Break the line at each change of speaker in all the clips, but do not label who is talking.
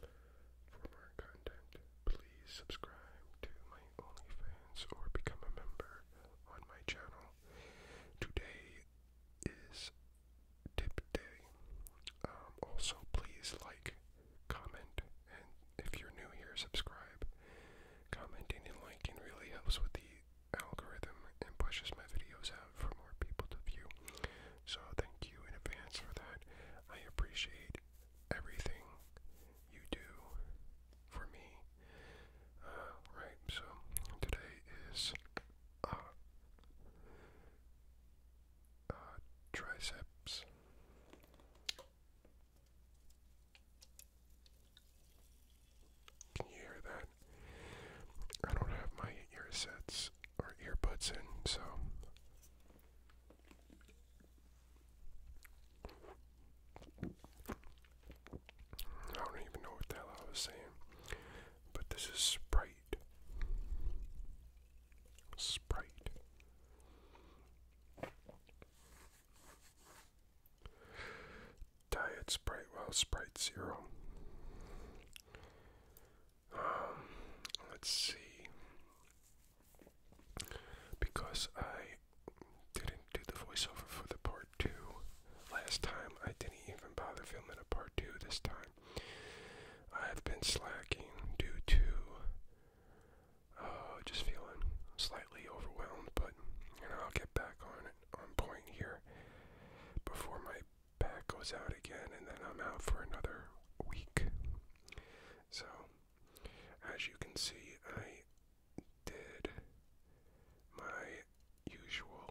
For more content, please subscribe to my OnlyFans or become a member on my channel. Today is tip day. Um, also, please like, comment, and if you're new here, subscribe. Commenting and liking really helps with the algorithm and pushes my videos out for more people to view. So, thank you in advance for that. I appreciate everything you do for me. Uh, right, so today is uh, uh, triceps. Can you hear that? I don't have my earsets or earbuds in, so I don't even know what the hell I was saying, but this is Sprite. Sprite. Diet Sprite, well, Sprite Zero. Um, let's see. Because I didn't do the voiceover for the part two last time, I didn't even bother filming a part two this time. I've been slacking due to uh, just feeling slightly overwhelmed, but you know I'll get back on it on point here before my Back goes out again, and then I'm out for another week. So, as you can see, I did my usual,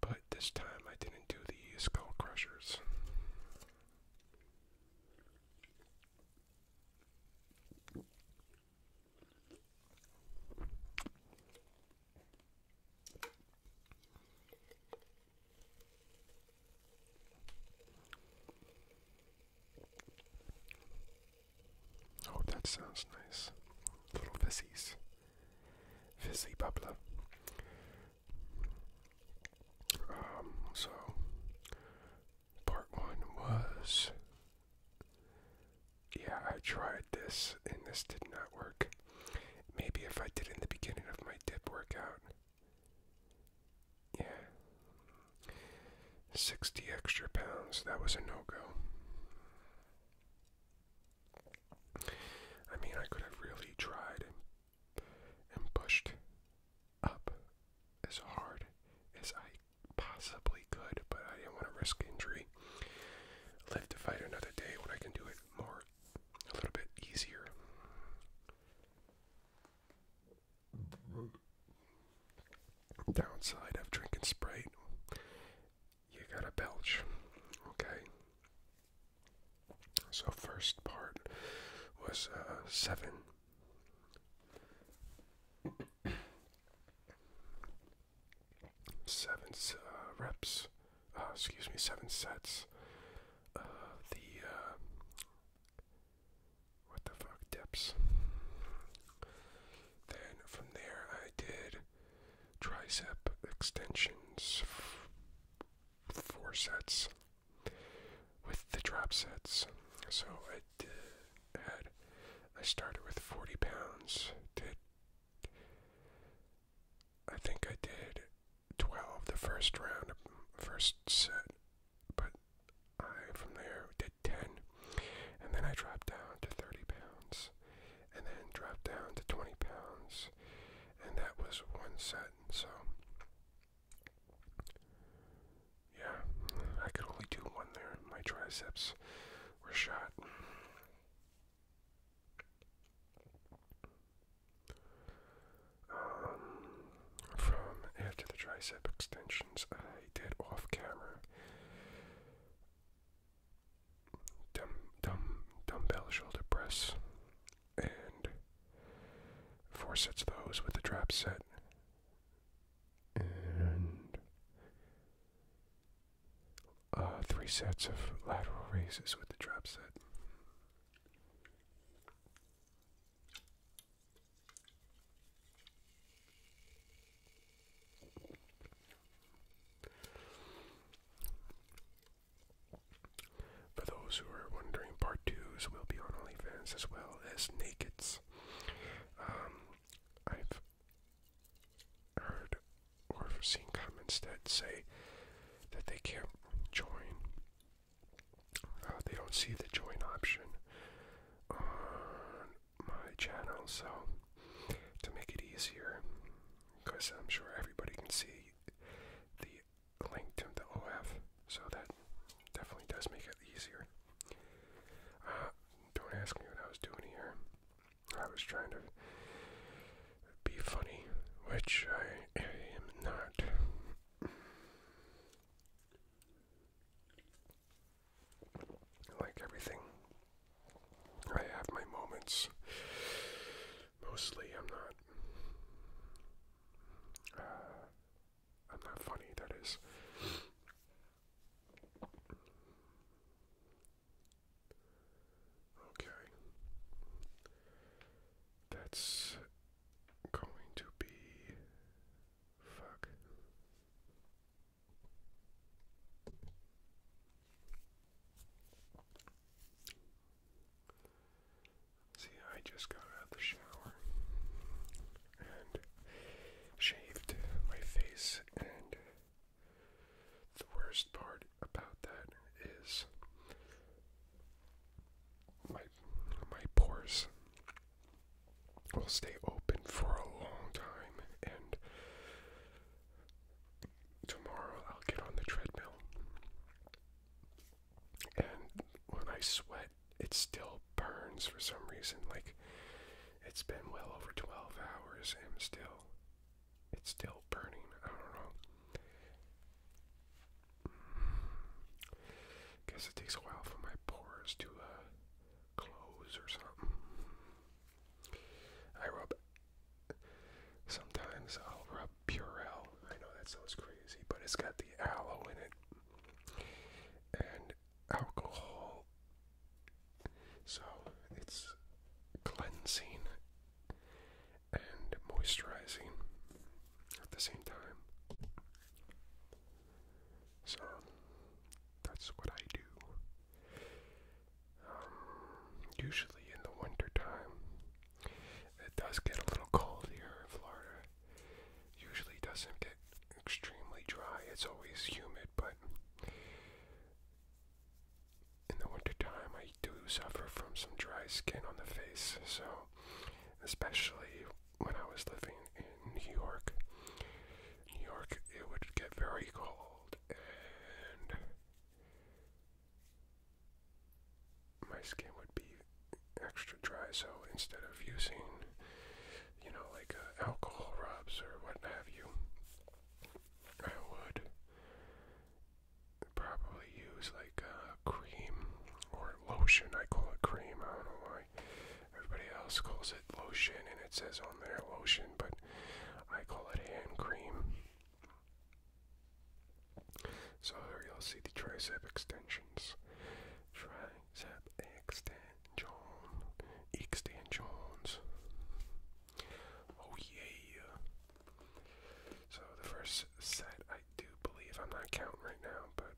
but this time I didn't do the skull crushers. Oh, that sounds nice. Little fizzies. Fizzy bubbler. Um, so, part one was. Yeah, I tried this and this did not work. Maybe if I did in the beginning of my dip workout. Yeah. 60 extra pounds. That was a no go. I mean, I could have really tried and, pushed up as hard as I possibly could, but I didn't want to risk injury. Live to fight another day when I can do it more, a little bit easier. Downside of drinking Sprite, you gotta belch, okay? So, first part was uh, seven seven uh, reps, uh, excuse me, seven sets of the, uh, what the fuck, dips. Then from there, I did tricep extensions, four sets with the drop sets. So I did, had, I started with 40 pounds, did I think I did 12 the first round, first set, but I from there did 10. And then I dropped down to 30 pounds, and then dropped down to 20 pounds, and that was one set. So, yeah, I could only do one there. My triceps were shot. Um, from after the tricep extensions, I did off camera dumb, dumb, dumbbell shoulder press and four sets of those with the trap set. And uh, three sets of lateral raises with the drop set. For those who are wondering, part twos will be on OnlyFans as well as Nakeds. Um, I've heard or seen comments that say that they can't join. Uh, they don't see the join option on my channel, so to make it easier, because I'm sure everybody can see the link to the OF, so that definitely does make it easier. Uh, don't ask me what I was doing here. I was trying to be funny, which I, am not. Like everything, I have my moments. Mostly, I'm not. Uh, I'm not funny. That is, Okay. That's going to be. Fuck. See, I just got out of the shower and shaved my face. And the worst part about that is my my pores will stay open for a long time and tomorrow I'll get on the treadmill and when I sweat it still burns for some reason. Like it's been well over 12 hours and still it's still burning. I don't know. Mm. Guess it takes a while for my pores to uh, close or something. I rub. Sometimes I'll rub Purell. I know that sounds crazy, but it's got the aloe in it, and alcohol. So it's cleansing and moisturizing at the same time. So that's what I do. Um, usually in the winter time, it does get a little cold here in Florida, usually doesn't get extremely dry. It's always humid, but in the winter time, I do suffer from some dry skin on the face. So, especially when I was living in New York, New York, it would get very cold and my skin would be extra dry. So instead of using, you know, like uh, alcohol rubs or what have you, I would probably use like a uh, cream or lotion. I call it cream. I don't know why everybody else calls it lotion, and it says on there lotion, but I call it hand cream. So here you'll see the tricep extensions. Try Zeb Extant John. Extant Jones. Oh yeah. So the first set I do believe I'm not counting right now, but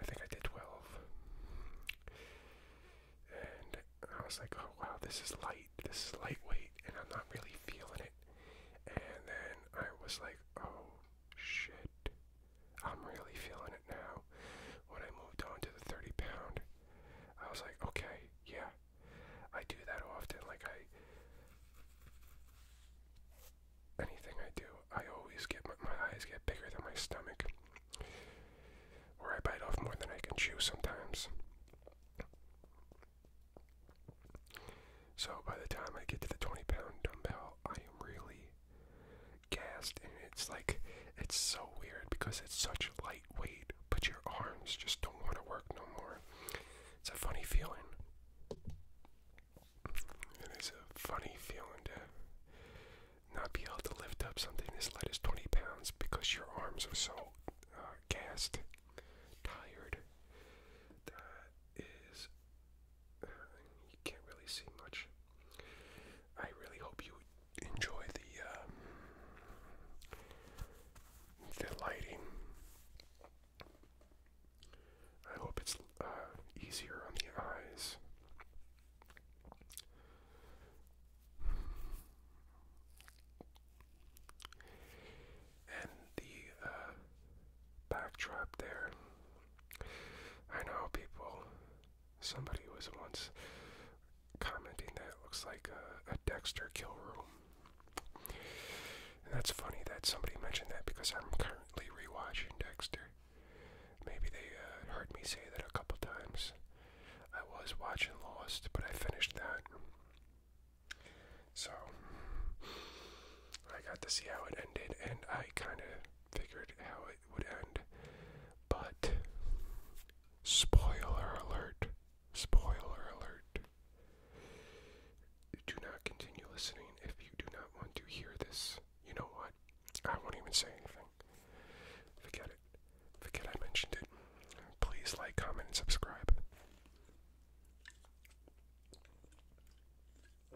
I think I did twelve. And I was like, oh wow, this is light. This is lightweight and I'm not really feeling it. And then I was like, oh shit. I'm really feeling it now. When I moved on to the 30 pound, I was like, okay, yeah, I do that often. Like, I. Anything I do, I always get my, eyes get bigger than my stomach. Or I bite off more than I can chew sometimes. So by the time I get to the 20 pound dumbbell, I am really gassed. And it's like, it's so weird because it's such lightweight, but your arms just don't want to work no more. It's a funny feeling. It is a funny feeling to not be able to lift up something as light as 20 pounds because your arms are so uh, gassed, tired. That is you can't really see much. I really hope you enjoy the um, the lighting. I hope it's uh, easier on the eyes and the uh, backdrop there. I know people, somebody was once commenting that it looks like a, Dexter kill room. that's funny that somebody mentioned that because I'm currently rewatching Dexter. Maybe they uh, heard me say that a couple times. I was watching Lost, but I finished that. So I got to see how it ended, and I kind of figured how it would end. But, spoiler alert, spoiler alert. Do not continue listening if you do not want to hear this. You know what? I won't even say anything. Forget it. Forget I mentioned it. Please like, comment, and subscribe.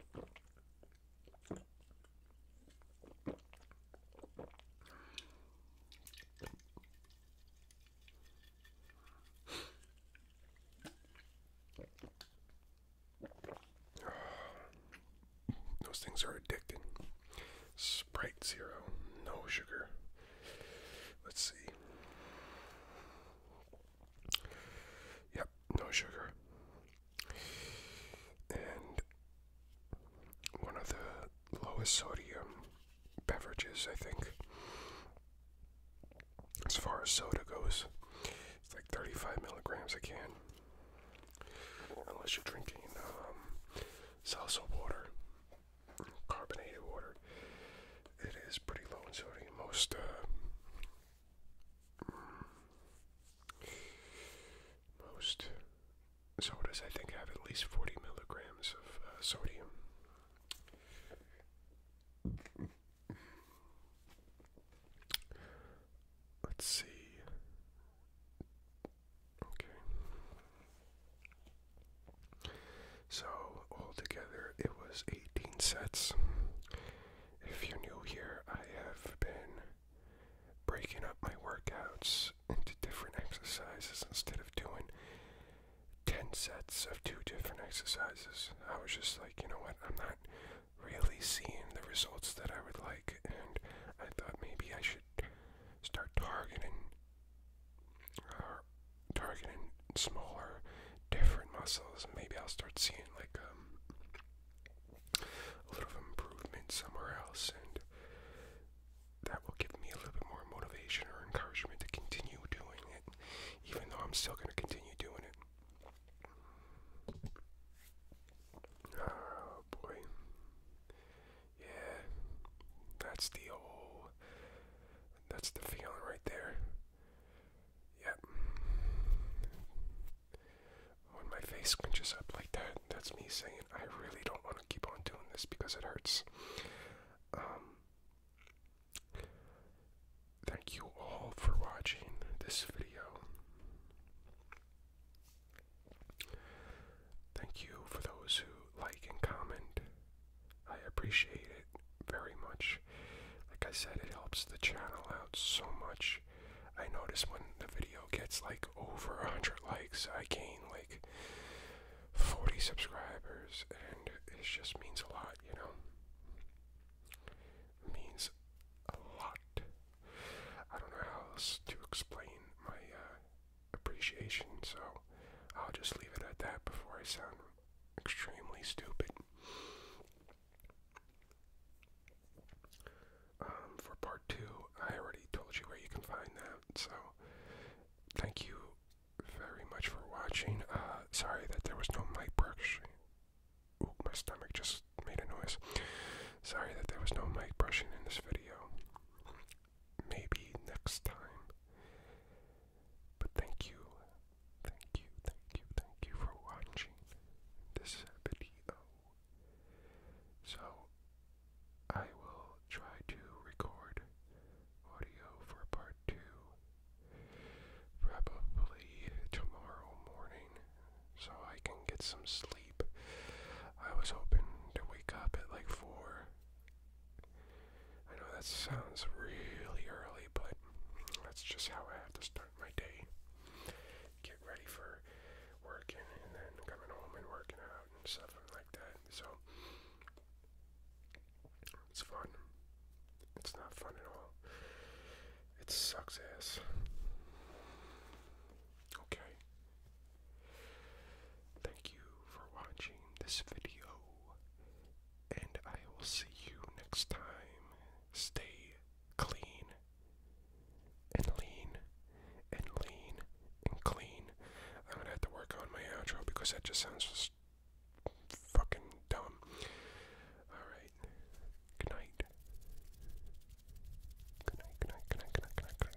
Those things are addicting. Sprite Zero, no sugar. Let's see. Yep, no sugar. And one of the lowest sodium beverages, I think, as far as soda goes. It's like 35 milligrams a can. Unless you're drinking um, salsa water, carbonated water. It is pretty low in sodium. Most uh, most sodas, I think, have at least forty milligrams of uh, sodium. Let's see. Okay. So, altogether, it was 18 sets. If you're new here, I have been breaking up my workouts into different exercises instead of doing 10 sets of two different exercises. I was just like, you know what, I'm not really seeing the results that I would like, and I thought maybe I should start targeting uh, targeting smaller, different muscles. Maybe I'll start seeing like um, a little improvement somewhere else, and that will give me a little bit more motivation or encouragement to continue doing it, even though I'm still going to continue doing it. Oh boy. Yeah. That's the old that's the feeling right there. Yep. When my face clenches up like that, that's me saying I really don't want to keep on doing this because it hurts. Um, thank you all for watching this video. Thank you for those who like and comment. I appreciate it very much. Like I said, it helps the channel out so much. I notice when the video gets like over a 100 likes, I gain like 40 subscribers, and it just means a lot, you know? means a lot. I don't know how else to explain my uh, appreciation, so I'll just leave it at that before I sound extremely stupid. Um, for part two, I already told you where you can find that, so thank you very much for watching. Uh, sorry that there was no mic brushing. my stomach just made a noise. Sorry that there was no mic brushing in this video maybe next time. But thank you, thank you, thank you, thank you for watching this video. So, I will try to record audio for part two probably tomorrow morning so I can get some sleep. I was hoping to wake up at like 4 I know that sounds really early, but that's just how I have to start my day. Get ready for working and then coming home and working out and stuff like that. So it's fun. It's not fun at all. It sucks ass. Okay. Thank you for watching this video, and I will see you next time. Stay clean and lean and lean and clean. I'm gonna have to work on my outro because that just sounds just fucking dumb. Alright. Good night. Good night, good night, good night, good night, good night, good night,